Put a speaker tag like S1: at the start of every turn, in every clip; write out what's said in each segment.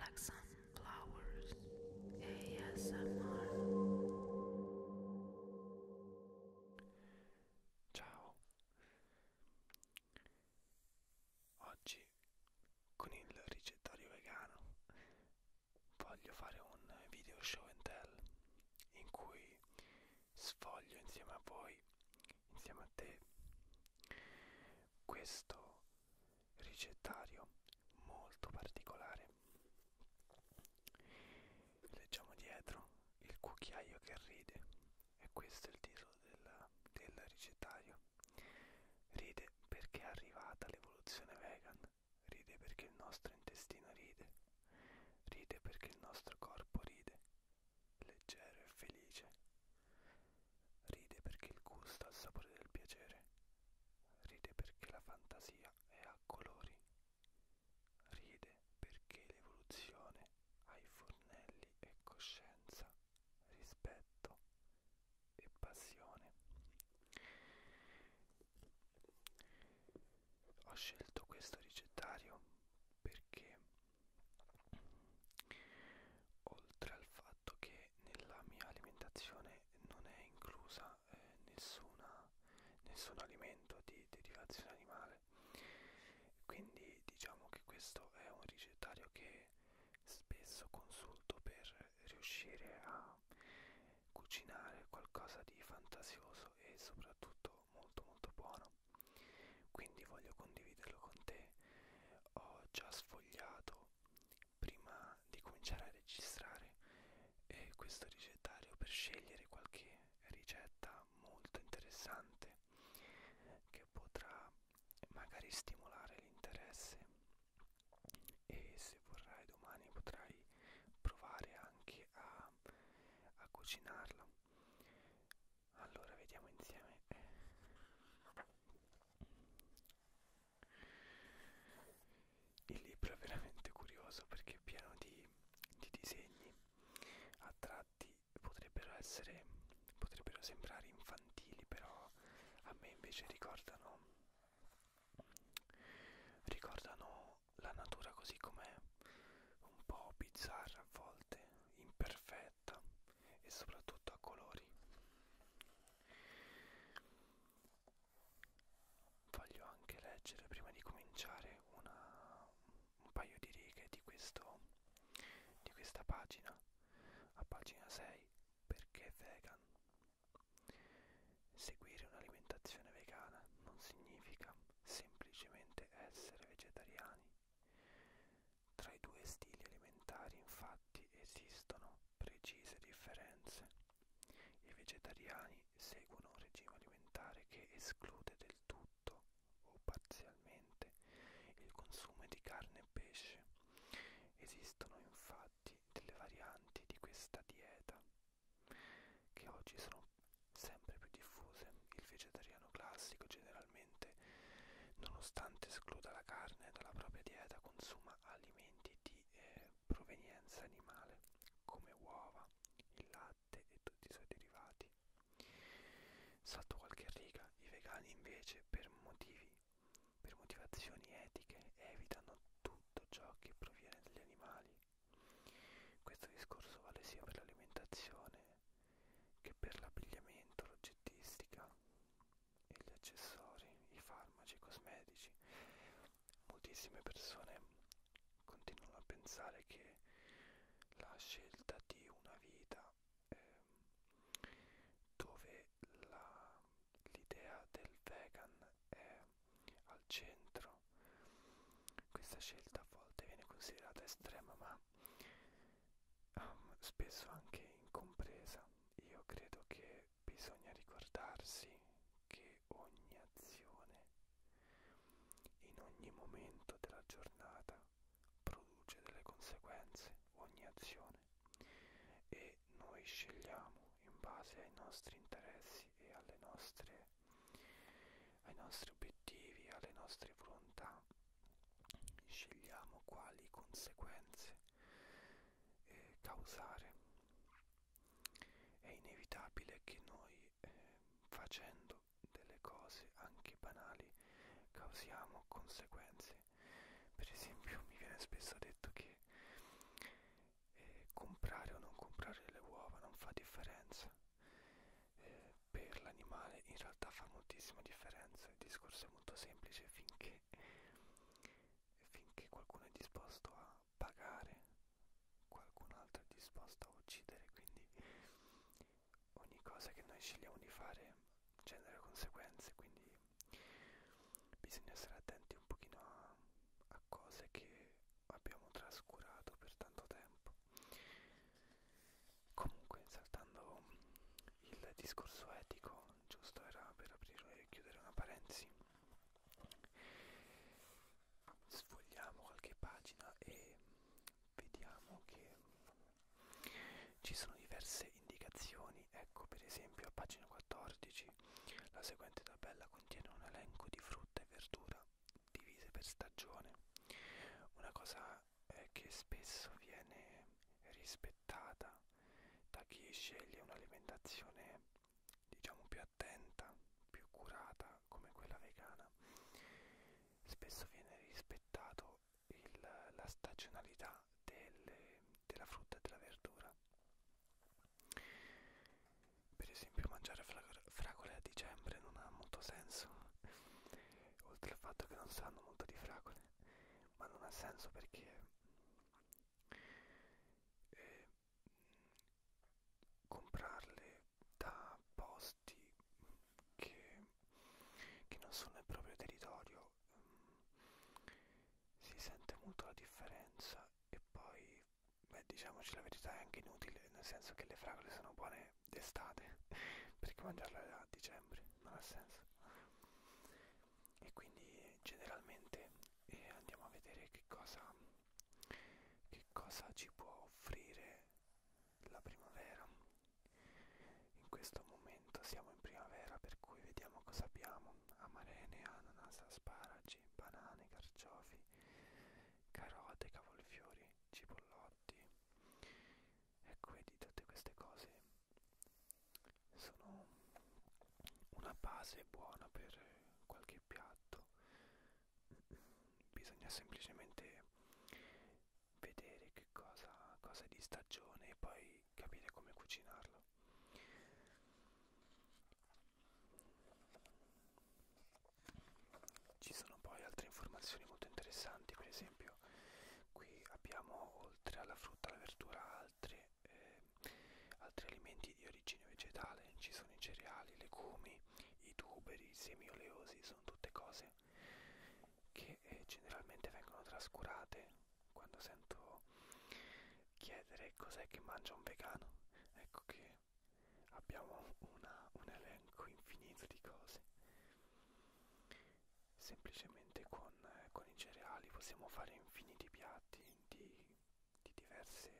S1: Like Sunflowers ASMR Ciao Oggi con il ricettario vegano voglio fare un video show and tell in cui sfoglio insieme a voi insieme a te questo ricettario molto particolare leggiamo dietro il cucchiaio che ride e questo è il titolo del, del ricettario ride perché è arrivata l'evoluzione vegan ride perché il nostro intestino ride ride perché il nostro corpo ride leggero e felice. Ride perché il gusto ha il sapore del piacere. Ride perché la fantasia è a colori. Ride perché l'evoluzione ha i fornelli e coscienza, rispetto e passione. Ho scelto questo ricettario perché oltre al fatto che nella mia alimentazione non è inclusa eh, nessuna, nessun alimento di derivazione animale quindi diciamo che questo è un ricettario che spesso consulto per riuscire a cucinare qualcosa di fantasioso e soprattutto molto molto buono quindi voglio condividerlo con te ho già sfogliato prima di cominciare a registrare eh, questo ricettario per scegliere qualche ricetta molto interessante che potrà magari stimolare l'interesse e se vorrai domani potrai provare anche a, a cucinarla allora vediamo insieme il libro è veramente curioso perché è pieno di, di disegni a tratti potrebbero essere potrebbero sembrare infantili però a me invece ricordano ricordano la natura così com'è un po' bizzarra a volte imperfetta perfetta e soprattutto a colori voglio anche leggere prima di cominciare una, un paio di righe di, questo, di questa pagina a pagina 6 perché vegan seguire un'alimentazione vegana non significa semplicemente essere vegetariani tra i due stili alimentari infatti esistono precise differenze. I vegetariani seguono un regime alimentare che esclude del tutto o parzialmente il consumo di carne e pesce. Esistono infatti delle varianti di questa dieta che oggi sono sempre più diffuse. Il vegetariano classico generalmente direttamente. Nonostante escluda la carne dalla propria dieta, consuma alimenti di eh, provenienza animale, come uova, il latte e tutti i suoi derivati. Salto qualche riga, i vegani invece per motivi per motivazioni etiche evitano tutto ciò che proviene dagli animali. Questo discorso vale sia per l'alimentazione che per l'abbigliamento, l'oggettistica e gli accessori, i farmaci, i cosmetici. Moltissime persone continuano a pensare che la scelta di una vita eh, dove l'idea del vegan è al centro, questa scelta a volte viene considerata estrema, ma um, spesso anche incompresa. Io credo che bisogna ricordarsi che ogni azione in ogni momento della giornata produce delle conseguenze, ogni azione e noi scegliamo in base ai nostri interessi e alle nostre, ai nostri obiettivi, alle nostre volontà scegliamo quali conseguenze eh, causare. È inevitabile che noi eh, facendo delle cose anche banali causiamo conseguenze. Per esempio mi viene spesso detto che eh, comprare o non comprare le uova non fa differenza. Eh, per l'animale in realtà fa moltissima differenza, il discorso è molto semplice finché, finché qualcuno è disposto a pagare, qualcun altro è disposto a uccidere, quindi ogni cosa che noi scegliamo di fare genera conseguenze, quindi bisogna stare attenti un pochino a, a cose che abbiamo trascurato per tanto tempo. Comunque, saltando il discorso etico, giusto era per aprire e chiudere una parentesi, sfogliamo qualche pagina e vediamo che ci sono diverse indicazioni. Ecco, per esempio, a pagina 14 la seguente tabella contiene un elenco di frutta e verdura divise per stagione. Una cosa eh, che spesso viene rispettata da chi sceglie un'alimentazione diciamo più attenta, più curata come quella vegana. Spesso viene rispettato il, la stagionalità delle, della frutta e della verdura. Per esempio mangiare fragole a dicembre non ha molto senso oltre al fatto che non sanno molto di fragole ma non ha senso perché eh, comprarle da posti che, che non sono nel proprio territorio mm, si sente molto la differenza e poi beh diciamoci la verità è anche inutile nel senso che le fragole sono buone mangiare d'estate perché mangiarla a dicembre non ha senso e quindi generalmente eh, andiamo a vedere che cosa che cosa ci può offrire la primavera in questo momento siamo in primavera per cui vediamo cosa abbiamo amarene ananas asparagi banane carciofi carote cavolfiori cipollotto notti. Ecco, vedi, tutte queste cose sono una base buona per qualche piatto. Bisogna semplicemente vedere che cosa, cosa è di stagione e poi capire come cucinarlo. Ci sono poi altre informazioni molto interessanti, per esempio qui abbiamo oltre alla frutta e alla verdura altre, eh, altri alimenti di origine vegetale, ci sono i cereali, i legumi, i tuberi, i semi oleosi, sono tutte cose che eh, generalmente vengono trascurate quando sento chiedere cos'è che mangia un vegano. Ecco che abbiamo una, un elenco infinito di cose semplicemente con, eh, con i cereali possiamo fare infiniti piatti di, di diverse,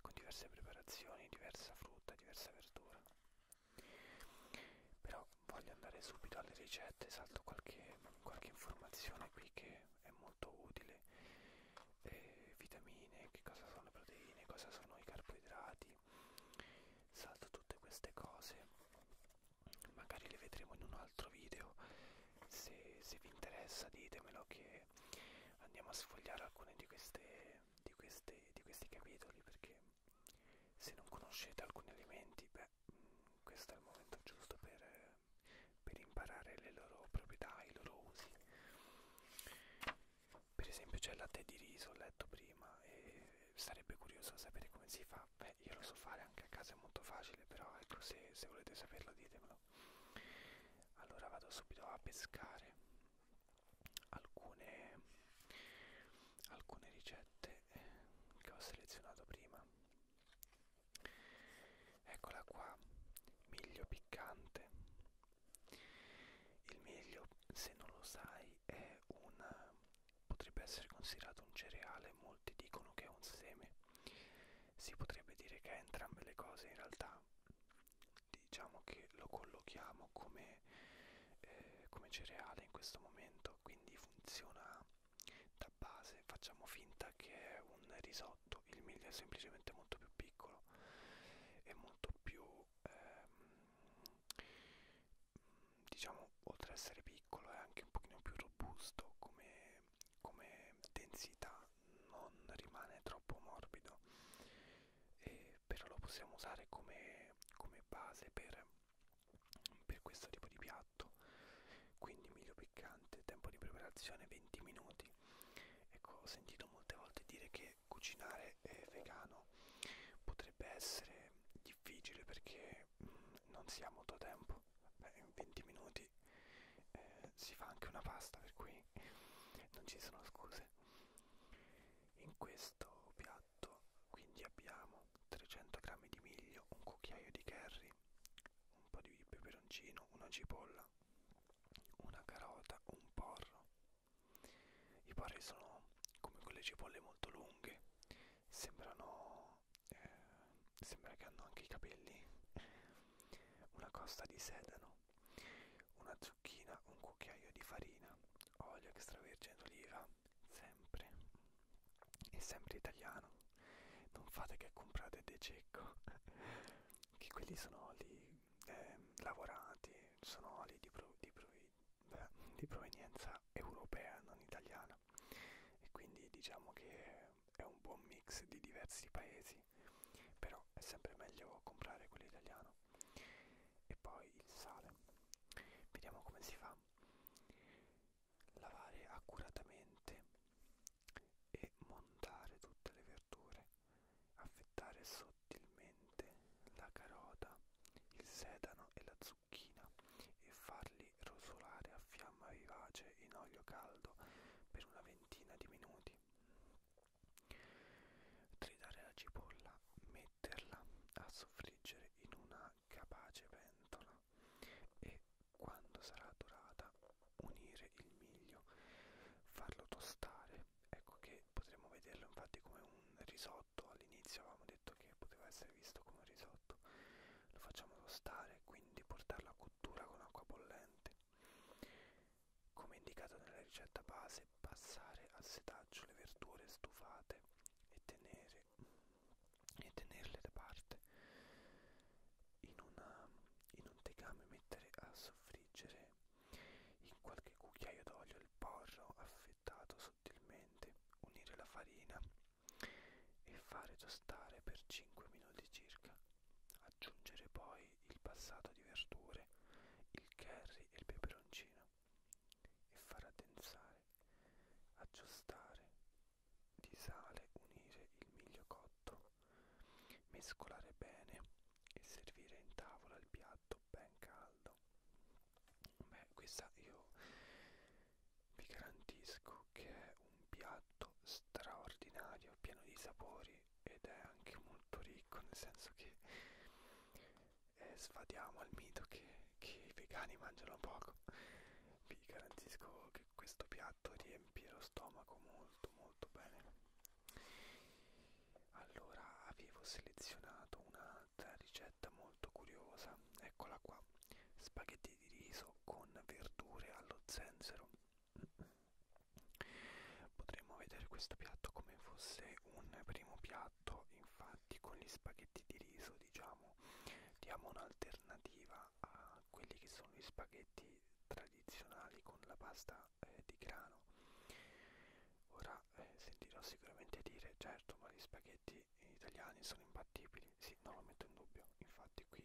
S1: con diverse preparazioni diversa frutta diversa verdura però voglio andare subito alle ricette salto qualche, qualche informazione qui che è molto utile eh, vitamine che cosa sono le proteine cosa sono i carboidrati quindi salto tutte queste cose magari le vedremo in un altro video se, se vi interessa ditemelo che andiamo a sfogliare alcune di queste di, queste, di questi capitoli perché se non conoscete alcuni elementi beh mm, questo è il momento giusto per, per imparare le loro proprietà i loro usi per esempio c'è il latte di riso, ho letto prima e sarebbe curioso sapere come si fa, beh io lo so fare anche a casa è molto facile però ecco se, se volete saperlo ditemelo. Allora vado subito a pescare alcune, alcune ricette eh, che ho selezionato prima. Eccola qua, miglio piccante, il miglio, se non lo sai, è un, potrebbe essere considerato un cereale, molti dicono che è un seme. Si potrebbe dire che è entrambe le cose, in realtà diciamo che lo collochiamo come, eh, come cereale in questo momento, quindi funziona da base, facciamo finta che è un risotto, il miglio è semplicemente molto più piccolo e molto più ehm, diciamo oltre ad essere piccolo è anche un pochino più robusto come, come densità non rimane troppo morbido e però lo possiamo usare come, come base per, per questo tipo di piatto quindi miglio piccante tempo di preparazione 20 minuti ecco ho sentito molte volte dire che perché cucinare eh, vegano potrebbe essere difficile perché mh, mm, non si ha molto tempo Beh, in 20 minuti eh, si fa anche una pasta per cui non ci sono scuse in questo piatto quindi abbiamo 300 g di miglio un cucchiaio di curry un po' di peperoncino una cipolla una carota un porro i pari sono come quelle cipolle molto lunghe, sembrano, eh, sembra che hanno anche i capelli, una costa di sedano, una zucchina, un cucchiaio di farina, olio extravergine d'oliva, sempre, e sempre italiano. Non fate che comprate De Cecco, che quelli sono lì eh, lavorati sono oli di, pro, di, provi, beh, di provenienza europea, non italiana, e quindi diciamo che è un buon mix di diversi paesi, però è sempre meglio comprare quello italiano. E poi il sale. Vediamo come si fa. Lavare accuratamente e montare tutte le verdure affettare sottilmente la carota, il sedano e la zucchina e farli rosolare a fiamma vivace in olio caldo per una ventina di minuti. Tritare la cipolla, metterla a soffriggere in una capace pentola e quando sarà dorata unire il miglio, farlo tostare ecco che potremmo vederlo infatti come un risotto all'inizio avevamo detto che poteva essere visto come un risotto lo facciamo tostare quindi portarlo a cottura con acqua bollente come indicato nella ricetta base passare al setaggio le verdure stufate e tenere e tenerle da parte in, una, in un tegame mettere a soffriggere in qualche cucchiaio d'olio il porro affettato sottilmente, unire la farina e fare tostare per 5 minuti circa. Aggiungere poi il passato di verdure, il curry e il peperoncino e far addensare, aggiustare di sale, unire il miglio cotto mescolare bene e servire in tavola il piatto ben caldo beh questa io vi garantisco che è un piatto straordinario pieno di sapori ed è anche molto ricco nel senso che eh, sfadiamo al mito che, che i vegani mangiano poco vi garantisco che questo piatto riempie lo stomaco molto molto bene allora avevo selezionato un'altra ricetta molto curiosa eccola qua spaghetti di riso con verdure allo zenzero potremmo vedere questo piatto come fosse un primo piatto infatti con gli spaghetti di riso diciamo diamo un'alternativa a quelli che sono gli spaghetti tradizionali con la pasta eh, di grano ora eh, sentirò sicuramente dire certo ma gli spaghetti italiani sono imbattibili sì non lo metto in dubbio infatti qui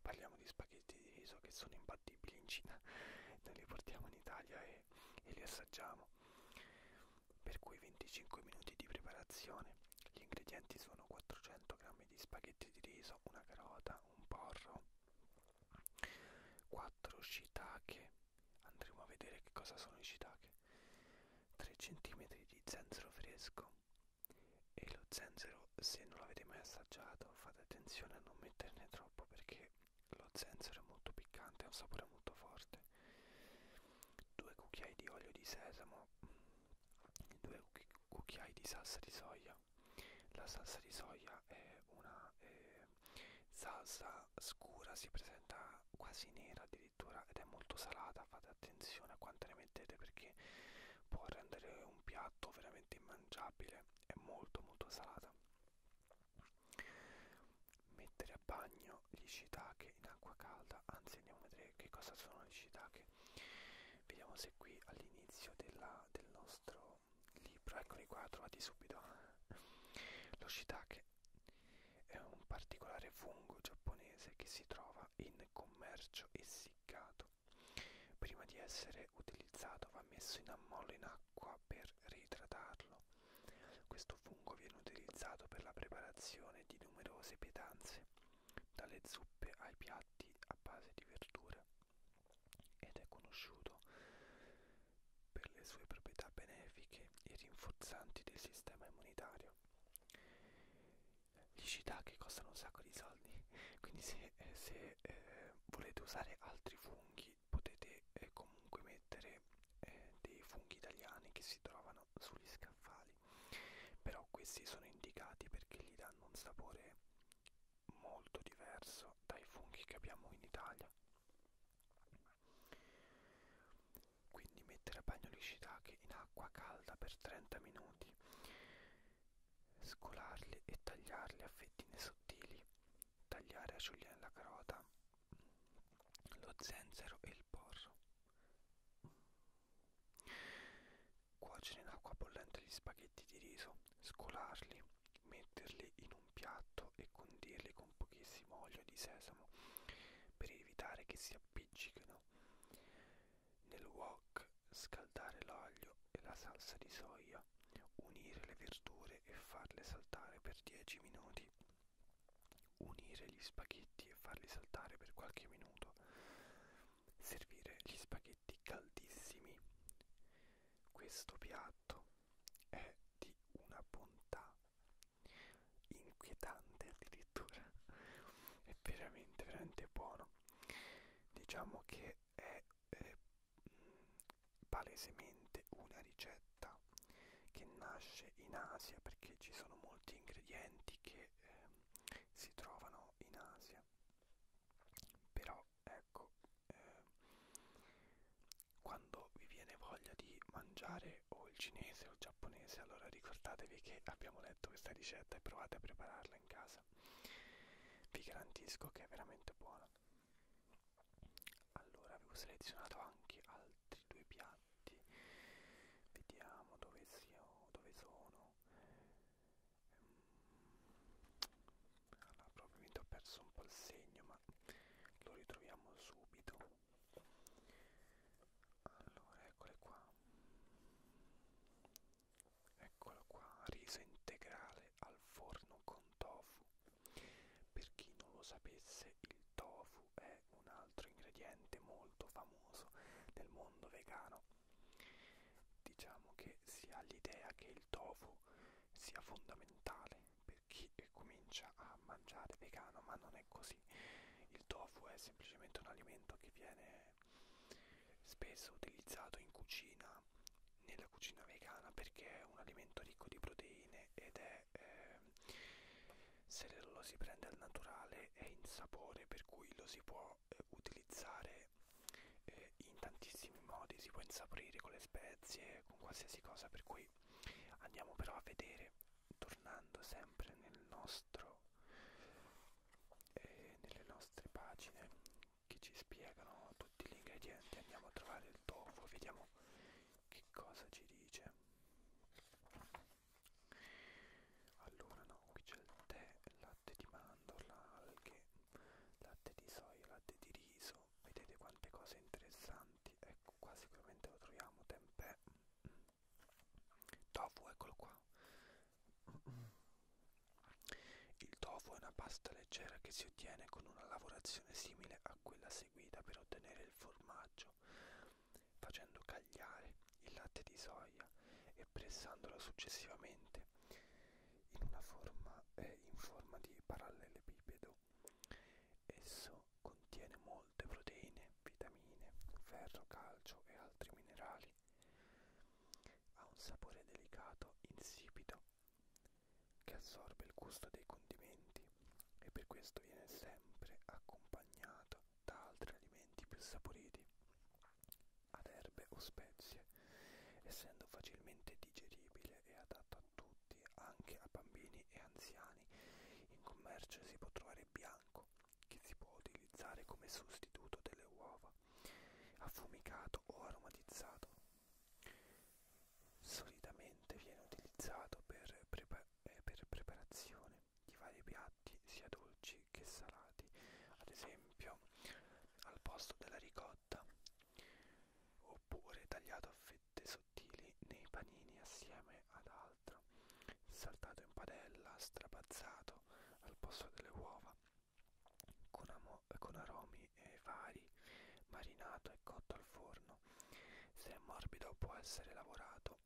S1: parliamo di spaghetti di riso che sono imbattibili in Cina noi li portiamo in Italia e, e li assaggiamo per cui 25 minuti di preparazione gli ingredienti sono 400 g di spaghetti di riso, una carota, un porro, 4 shiitake andremo a vedere che cosa sono i shiitake 3 cm di zenzero fresco e lo zenzero se non l'avete mai assaggiato fate attenzione a non metterne troppo perché lo zenzero è molto piccante ha un sapore molto forte 2 cucchiai di olio di sesamo 2 cucchiai di salsa di soia la salsa di soia è una eh, salsa scura, si presenta quasi nera addirittura ed è molto salata, fate attenzione a quanto ne mettete perché può rendere un piatto veramente immangiabile, è molto molto salata. Mettere a bagno gli shiitake in acqua calda, anzi andiamo a vedere che cosa sono gli shiitake. Vediamo se qui all'inizio del nostro libro, eccoli qua, trovati subito. Lo shiitake è un particolare fungo giapponese che si trova in commercio essiccato. Prima di essere utilizzato va messo in ammollo in acqua per reidratarlo. Questo fungo viene utilizzato per la preparazione di numerose pietanze, dalle zuppe ai piatti a base di verdure ed è conosciuto per le sue proprietà benefiche e rinforzanti del sistema immunitario. Gli shiitake costano un sacco di soldi, quindi se, se eh, volete usare altri funghi potete eh, comunque mettere eh, dei funghi italiani che si trovano sugli scaffali, però questi sono indicati perché gli danno un sapore molto diverso dai funghi che abbiamo in Italia quindi mettere a bagno gli shiitake in acqua calda per 30 minuti scolarli e tagliarli a fettine sottili tagliare a julienne la carota lo zenzero e il porro Cuocere in acqua bollente gli spaghetti di riso, scolarli, metterli in un piatto e condirli con pochissimo olio di sesamo per evitare che si appiccicano. Nel wok scaldare l'olio e la salsa di soia, unire le verdure e farle saltare per 10 minuti. Unire gli spaghetti e farli saltare per qualche minuto servire gli spaghetti caldissimi. Questo piatto è di una bontà inquietante addirittura, è veramente veramente buono. Diciamo che è eh, mm, palesemente una ricetta che nasce in Asia perché ci sono molti ingredienti che eh, si trovano in Asia però ecco eh, quando vi viene voglia di mangiare o il cinese o il giapponese allora ricordatevi che abbiamo letto questa ricetta e provate a prepararla in casa vi garantisco che è veramente buona allora avevo selezionato anche altri due piatti vediamo dove, sia, dove sono allora probabilmente ho perso un po' il segno ma lo ritroviamo subito allora eccole qua eccolo qua riso integrale al forno con tofu per chi non lo sapesse il tofu è un altro ingrediente molto famoso nel mondo vegano Diciamo che si ha l'idea che il tofu sia fondamentale per chi comincia a mangiare vegano, ma non è così. Il tofu è semplicemente un alimento che viene spesso utilizzato in cucina, nella cucina vegana, perché è un alimento ricco di proteine ed è, eh, se lo si prende al naturale, è in sapore, per cui lo si può può eh, utilizzare eh, in tantissimi modi, si può insaporire con le spezie, con qualsiasi cosa, per cui andiamo però a vedere, tornando sempre nel nostro, eh, nelle nostre pagine che ci spiegano tutti gli ingredienti, andiamo a trovare il tofu, vediamo che cosa ci dice. Allora no, qui c'è il tè, la latte di mandorla, alghe, latte di soia, latte di riso, vedete quante cose interessanti, ecco qua sicuramente lo troviamo, tempeh, tofu, eccolo qua. Il tofu è una pasta leggera che si ottiene con una lavorazione simile a quella seguita per ottenere il formaggio, facendo cagliare il latte di soia e pressandolo successivamente in una forma eh, in forma di parallelepipedo. Esso contiene molte proteine, vitamine, ferro, calcio e altri minerali. Ha un sapore delicato, insipido, che assorbe il gusto dei condimenti e per questo viene sempre accompagnato da altri alimenti più saporiti, ad erbe o spezie, essendo facilmente digeribile e adatto a tutti, anche a bambini e anziani. In commercio si può trovare bianco, che si può utilizzare come sostituto delle uova, affumicato o aromatizzato. Solitamente viene utilizzato per, prepa eh, per preparazione di vari piatti sia dolci che salati ad esempio al posto della ricotta oppure tagliato a fette sottili nei panini assieme ad altro saltato in padella strapazzato al posto delle uova con, amo con aromi e eh, vari marinato e cotto al forno se è morbido può essere lavorato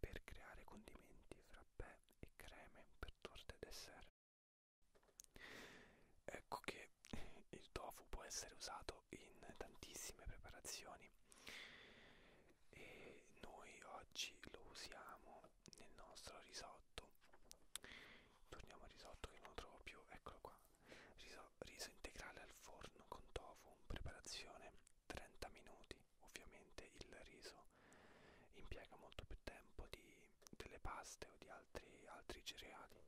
S1: per creare condimenti, frappè e creme per torte e dessert. Ecco che il tofu può essere usato in tantissime preparazioni e noi oggi lo usiamo nel nostro risotto. Torniamo al risotto che non trovo più, eccolo qua. Riso, riso integrale al forno con tofu, preparazione 30 minuti. Ovviamente il riso impiega molto più tempo di, delle paste o di altri, altri cereali.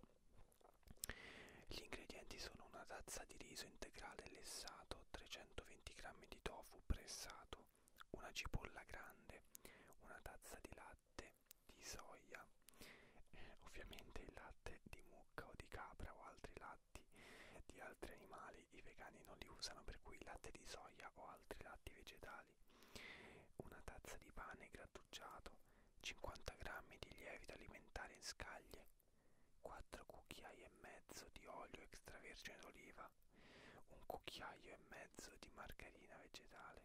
S1: Gli ingredienti sono una tazza di riso integrale lessato, 320 g di tofu pressato, una cipolla grande, una tazza di latte di soia, eh, ovviamente il latte di mucca o di capra o altri latti di altri animali vegetali i vegani non li usano per cui latte di soia o altri latti vegetali una tazza di pane grattugiato 50 g di lievito alimentare in scaglie 4 cucchiai e mezzo di olio extravergine d'oliva un cucchiaio e mezzo di margarina vegetale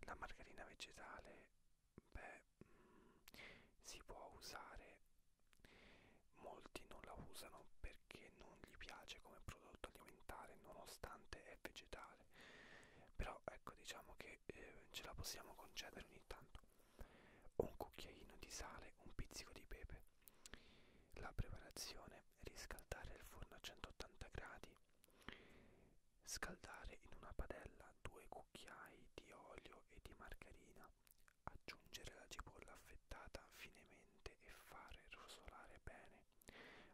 S1: la margarina vegetale beh mm, si può usare Molti non la usano perché non gli piace come prodotto alimentare nonostante è vegetale. Però ecco diciamo che eh, ce la possiamo concedere ogni tanto. Un cucchiaino di sale, un pizzico di pepe. La preparazione riscaldare il forno a 180 gradi. Scaldare in una padella due cucchiai di olio e di margarina aggiungere la cipolla affettata finemente e fare rosolare bene,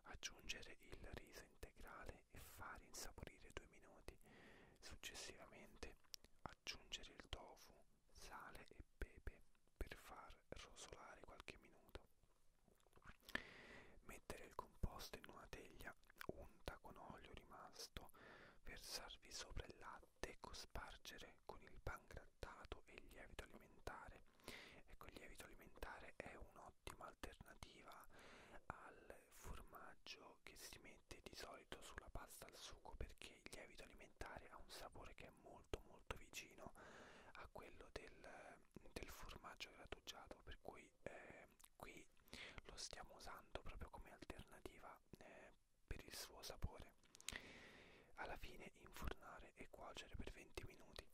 S1: aggiungere il riso integrale e fare insaporire due minuti, successivamente aggiungere il tofu, sale e pepe per far rosolare qualche minuto. Mettere il composto in una teglia unta con olio rimasto, versarvi sopra il latte e cospargere con il pan grattato e il lievito alimentare. Ecco, il lievito alimentare è un'ottima alternativa al formaggio che si mette di solito sulla pasta al sugo perché il lievito alimentare ha un sapore che è molto molto vicino a quello del, del formaggio grattugiato per cui eh, qui lo stiamo usando proprio come alternativa eh, per il suo sapore. Alla fine infornare e cuocere per 20 minuti.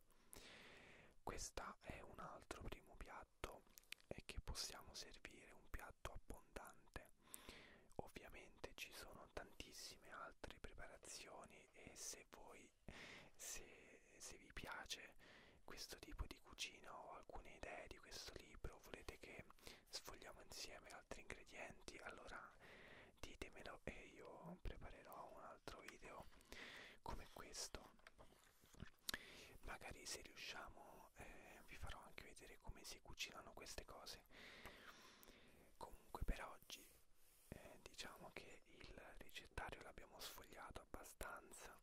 S1: Questa è un altro primo piatto e eh, che possiamo servire un piatto abbondante. Ovviamente ci sono tantissime altre preparazioni e se voi se, se vi piace questo tipo di cucina o alcune idee di questo libro volete che sfogliamo insieme altri ingredienti allora ditemelo e io preparerò un altro video come questo magari se riusciamo eh, vi farò anche vedere come si cucinano queste cose comunque per oggi eh, diciamo che il ricettario l'abbiamo sfogliato abbastanza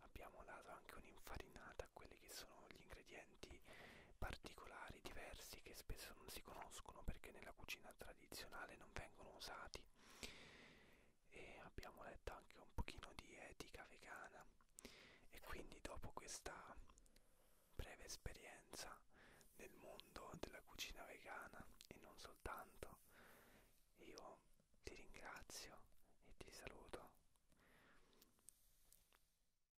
S1: abbiamo dato anche un'infarinata a quelli che sono gli ingredienti ingredienti particolari, diversi, che spesso non si conoscono perché nella cucina tradizionale non vengono usati. E abbiamo letto anche un pochino di etica vegana e quindi dopo questa breve esperienza nel mondo della cucina vegana e non soltanto, io ti ringrazio e ti saluto.